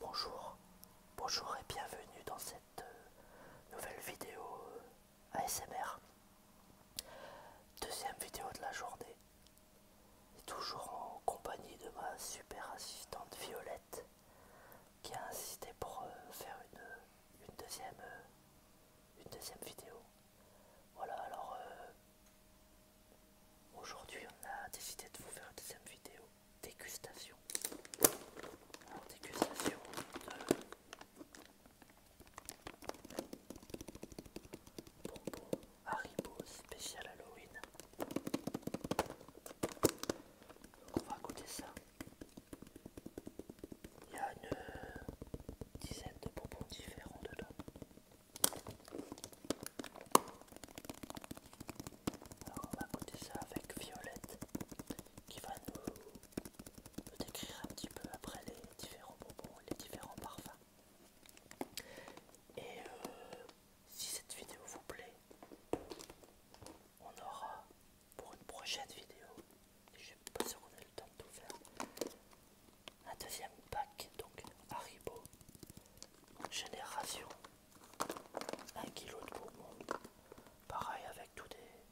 Bonjour, bonjour et bienvenue dans cette euh, nouvelle vidéo euh, ASMR. Deuxième vidéo de la journée. toujours en compagnie de ma super assistante Violette qui a insisté pour euh, faire une, deuxième, vidéo. Voilà alors Aujourd'hui, on a décidé de vous faire une deuxième vidéo dégustation. Alors, dégustation de bonbons Haribo spécial Halloween. on va goûter ça. Il y a une dizaine de bonbons différents dedans. Alors on va goûter ça avec Violette qui va nous, décrire un petit peu après les différents bonbons, les différents parfums. Et euh, si cette vidéo vous plaît, on aura pour une prochaine vidéo, je ne suis pas sûr qu'on ait le temps de tout faire, un deuxième pack, donc Haribo, Génération 1 kg de bonbons. Pareil avec tous des,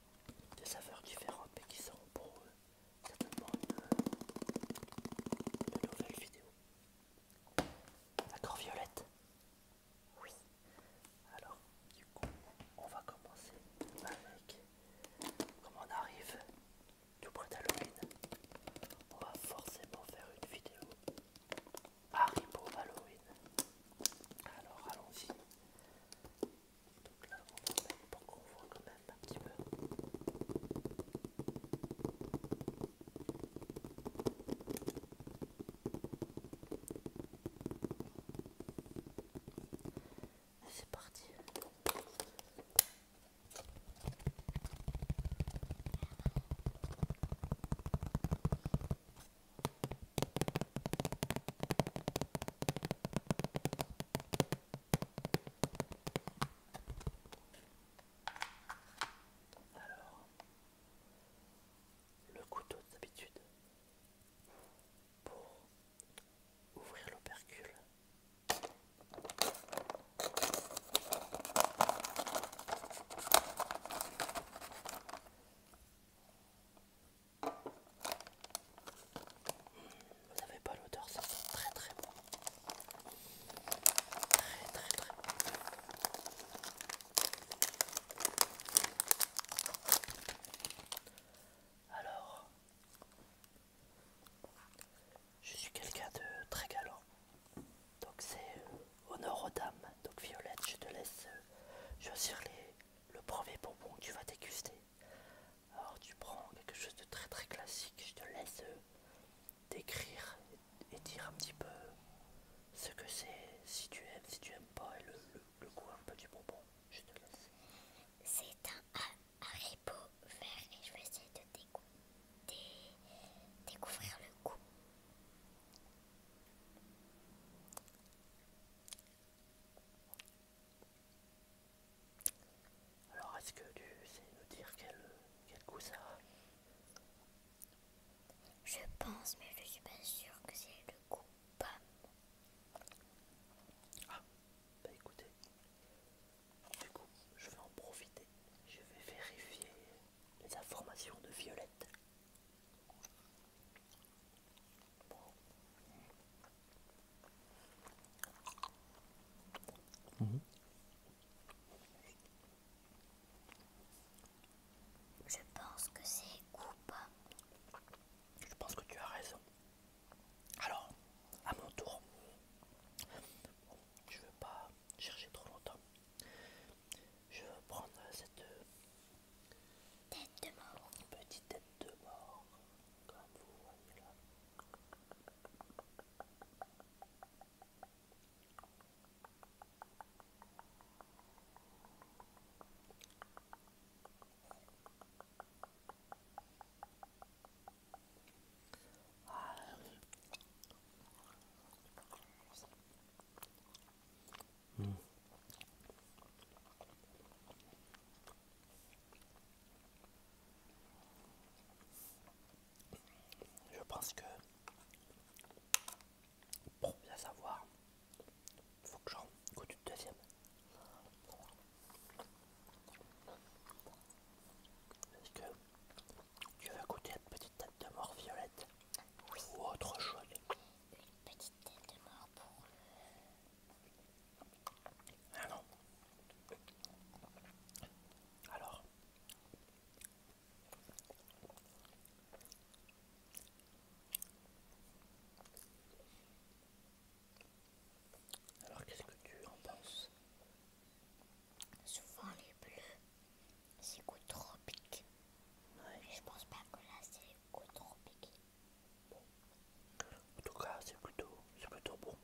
saveurs différentes et qui sont pour eux certainement une nouvelle vidéo. D'accord Violette Oui. Alors du coup on va commencer avec comment on arrive tout près d'Halloween, on va forcément faire une vidéo Potter Halloween. Alors allons-y. Donc là, on va mettre pour qu'on voit quand même un petit peu. c'est parti. Alors, le couteau d'habitude pour ouvrir l'opercule vous n'avez pas l'odeur, ça sent très très bon. Très très très bon. Alors, je suis quelqu'un de très galant. Donc c'est euh, honneur aux dames. Donc Violette, je te laisse euh, choisir le premier bonbon que tu vas déguster. Alors tu prends quelque chose de très très classique. Je te laisse euh, décrire et, dire un petit peu ce que c'est, si tu aimes, si tu aimes pas, et le, goût un peu du bonbon. Je te laisse. C'est un et je vais essayer de découvrir le goût. Alors est-ce que tu sais nous dire quel, goût ça a Je pense mais je suis pas sûre que c'est le goût pomme. Ah bah écoutez, du coup, je vais en profiter. Je vais vérifier les informations de Violette. Je pense que c'est coupable. Je pense que tu as raison. Alors, à mon tour, je veux pas chercher trop longtemps. Je vais prendre cette euh, Petite tête de mort, comme vous Hmm. Je pense que pour bien savoir, faut que j'en goûte deuxième. Tu veux écouter la petite tête de mort violette Ou autre chose Une petite tête de mort pour Ah non Alors alors qu'est-ce que tu en penses souvent les bleus, c'est goût trop je pense pas que là c'est goût trop En tout cas, c'est plutôt, c'est plutôt bon.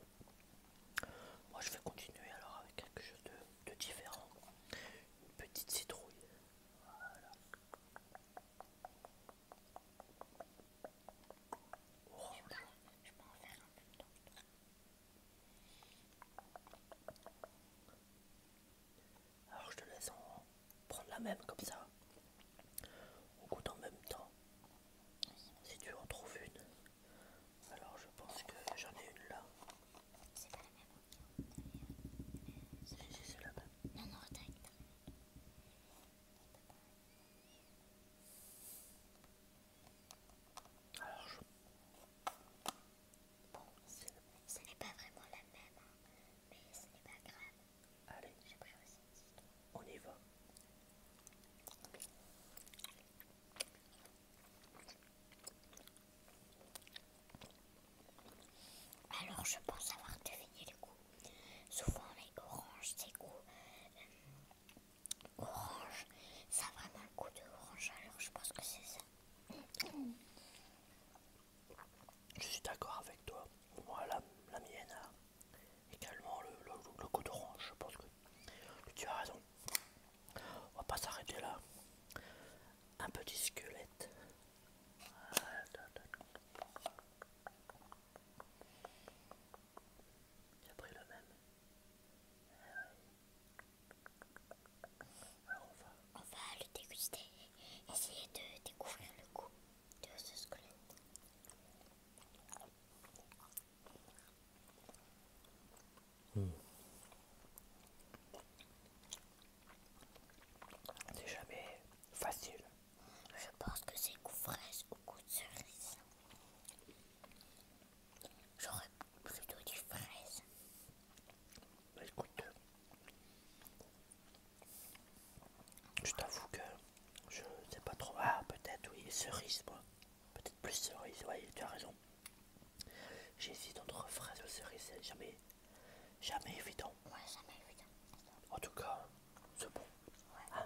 Moi, je vais continuer alors avec quelque chose de, différent. Une petite citrouille. Voilà. Je peux en faire un peu alors je te laisse en prendre la même comme ça. On goûte en même temps. Si tu en trouves une. Alors je pense que j'en ai une là. C'est pas la même. Si, si, c'est la même. Non, non, t'as une. Alors je... Bon, ce, ce n'est pas vraiment la même, hein, mais ce n'est pas grave. Allez, j'ai pris aussi une petite. On y va. Alors je pense avoir deviné le goût. Souvent les oranges, ces goûts euh, orange. Ça va vraiment coup goût de orange, alors je pense que c'est ça. Je suis d'accord avec toi. Moi, la, mienne a également le, coup d'orange. Je pense que tu as raison. On va pas s'arrêter là. Un petit squelette le même. Ah on va... le déguster. Essayer de découvrir le goût de ce squelette. Hmm. C'est jamais facile. Je pense que c'est goût fraise ou goût de cerise. J'aurais plutôt des fraises. Bah, écoute, je t'avoue que je sais pas trop. Ah, peut-être, oui, cerise, moi. Peut-être plus cerise, oui, tu as raison. J'hésite entre fraises et cerises, c'est jamais, jamais évident. Ouais, jamais évident. En tout cas, c'est bon. Ouais. Ah,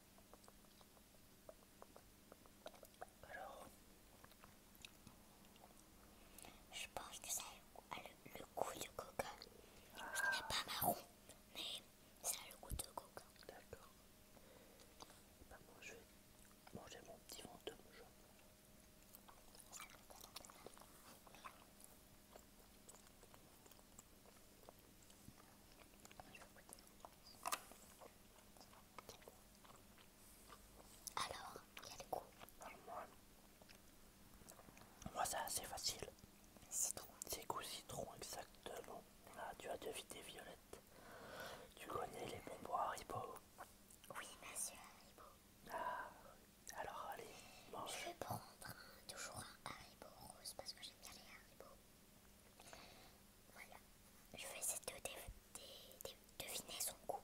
Alors, je pense que ça a le, goût de coca. Ah. Ce n'est pas marron, mais ça a le goût de coca. D'accord. Bah, je vais manger mon petit fantôme jaune. Mmh. Alors, quel goût moi. moi, c'est assez facile. Citron. C'est goût citron, exactement. Ah, tu as deviné Violette. Tu connais les bonbons Haribo Oui, monsieur Haribo. Ah, alors allez, mange. Je vais prendre toujours un Haribo rose parce que j'aime bien les Haribo. Voilà. Je vais essayer de, deviner son goût.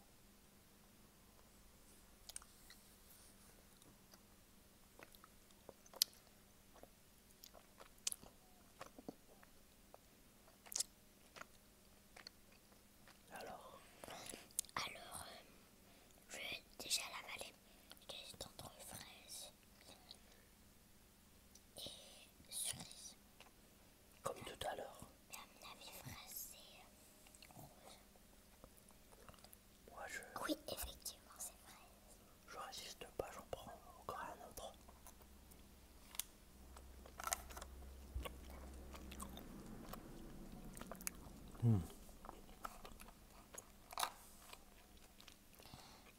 Alors Alors, euh, je vais déjà l'avaler. Qu'est-ce en fraises et cerise. Comme tout à l'heure. Mais à mon avis, Oui, effectivement, c'est fraise. Je résiste pas, j'en prends encore un autre. Hmm.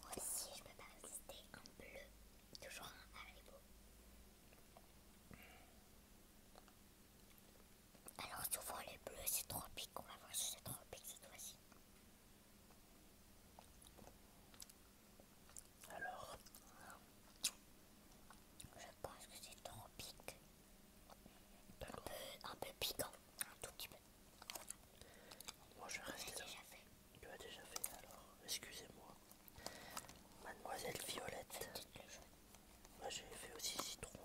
Moi Aussi, je peux pas citer un bleu, toujours un haribo. Alors souvent les bleus c'est trop tropique, on va voir si c'est trop tropique cette fois-ci. Alors, je pense que c'est tropique. Un peu, un peu piquant, un tout petit peu. Moi je reste Déjà fait. Tu as déjà fait alors, excusez-moi. Mademoiselle Violette. Moi j'ai fait aussi citron.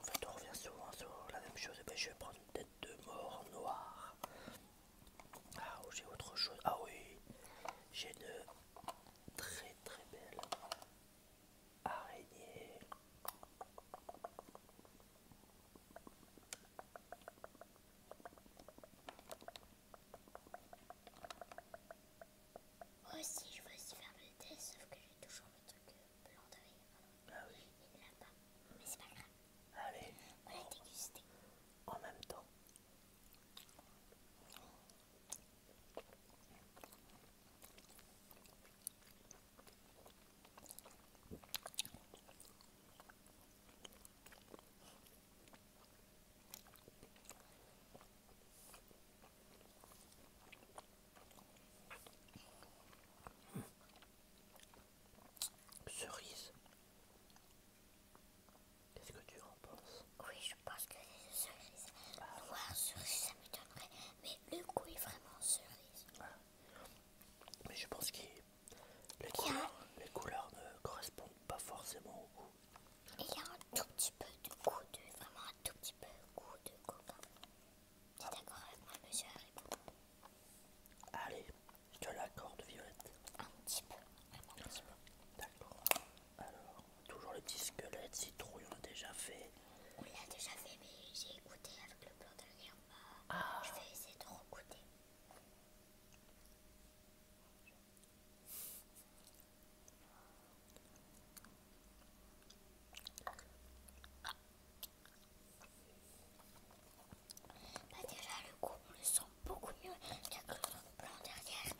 En fait on revient souvent sur la même chose. Eh ben, je vais prendre une tête de mort noire. Ah oh, j'ai autre chose. Ah oui, j'ai une très très belle araignée. Moi aussi, je veux aussi faire le test, sauf que j'ai toujours le truc euh, blanc d'œil. Ah oui. Il ne l'a mais c'est pas grave. Allez. On va dégusté. En même temps. Cerise. Qu'est-ce que tu en penses Oui, je pense que c'est cerise. Ah. Voir Noir cerise, ça m'étonnerait. Mais le goût est vraiment cerise. Ah. Mais je pense qu'il les couleurs, ne correspondent pas forcément au goût. Il y a un tout petit peu de goût de, vraiment un tout petit peu de goût de coca. d'accord avec moi, monsieur Harry Allez, je te l'accorde, Violette. Un petit peu, D'accord. Alors, toujours le petit squelette citrouille, on l'a déjà fait. On l'a déjà fait, mais j'ai écouté avec le plan de l'air. Ah. Je vais essayer de bah déjà le coup on le sent beaucoup mieux la le blanc derrière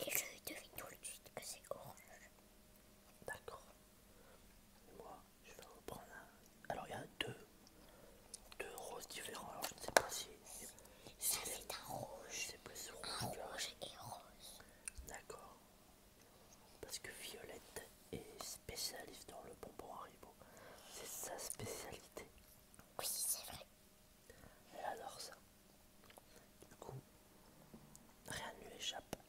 et je devine tout de suite que c'est orange. D'accord. Moi je vais en prendre un. Alors il y a deux, deux roses différentes. Alors je ne sais pas si, c'est un rouge, c'est plus rouge, rouge et rose. D'accord. Parce que Violette est spécialiste dans le bonbon Haribo. C'est sa spécialité. Oui, c'est vrai. Elle adore ça. Du coup, rien ne lui échappe.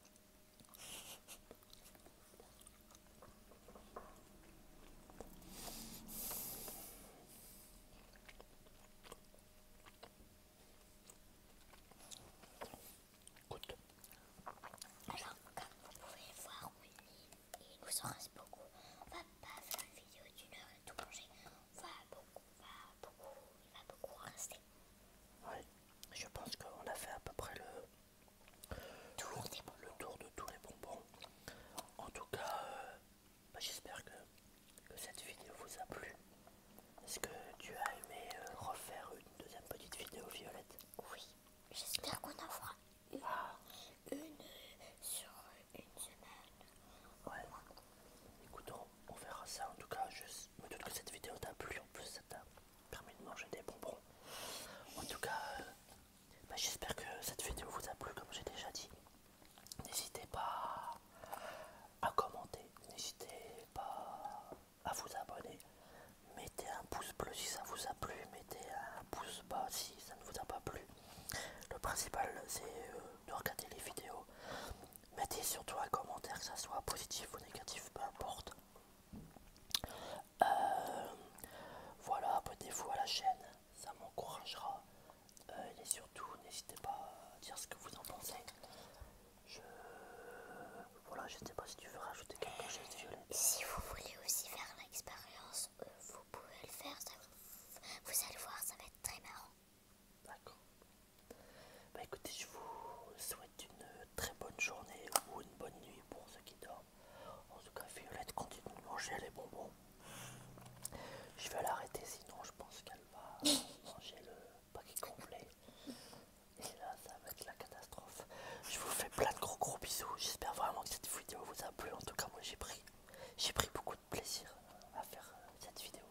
Écoute. Alors, comme vous pouvez voir, il nous en reste beaucoup. On va pas faire une vidéo d'une heure et tout manger. On va beaucoup, on va beaucoup, il va beaucoup rester. Oui, je pense qu'on a fait à peu près le le tour de tous les bonbons. En tout cas, euh, bah, j'espère que, cette vidéo vous a plu. Est-ce que tu as aimé euh, refaire une deuxième petite vidéo, Violette Oui, j'espère qu'on en fera ah. une, sur une semaine. Ouais, écoute, on, verra ça. En tout cas, je me doute que cette vidéo t'a plu. En plus, ça t'a permis de manger des bonbons. En tout cas, euh, bah, j'espère que cette vidéo vous a plu comme j'ai déjà dit. N'hésitez pas à commenter, n'hésitez pas à vous abonner. Mettez un pouce bleu si ça vous a plu, mettez un pouce bas si ça ne vous a pas plu. Le principal c'est euh, de regarder les vidéos. Mettez surtout un commentaire, que ça soit positif ou négatif, peu importe. Euh, voilà, abonnez-vous à la chaîne, ça m'encouragera. Euh, et surtout, n'hésitez pas à dire ce que vous en pensez. Je... Voilà, je ne sais pas si tu veux rajouter quelque chose, Violette. Euh, si vous voulez aussi faire l'expérience, vous pouvez le faire. vous allez voir, ça va être très marrant. D'accord. Bah écoutez, je vous souhaite une très bonne journée ou une bonne nuit pour ceux qui dorment. En tout cas, Violette continue de manger les bonbons. Je vais l'arrêter, sinon je pense qu'elle va manger le paquet complet. Et là, ça va être la catastrophe. Je vous fais plein de gros gros bisous. J'espère vraiment que cette vidéo vous a plu. En tout cas, moi j'ai pris, j'ai pris beaucoup de plaisir à faire euh, cette vidéo.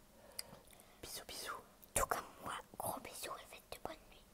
Bisous, bisous. Tout comme moi, gros bisous et faites de bonne nuit.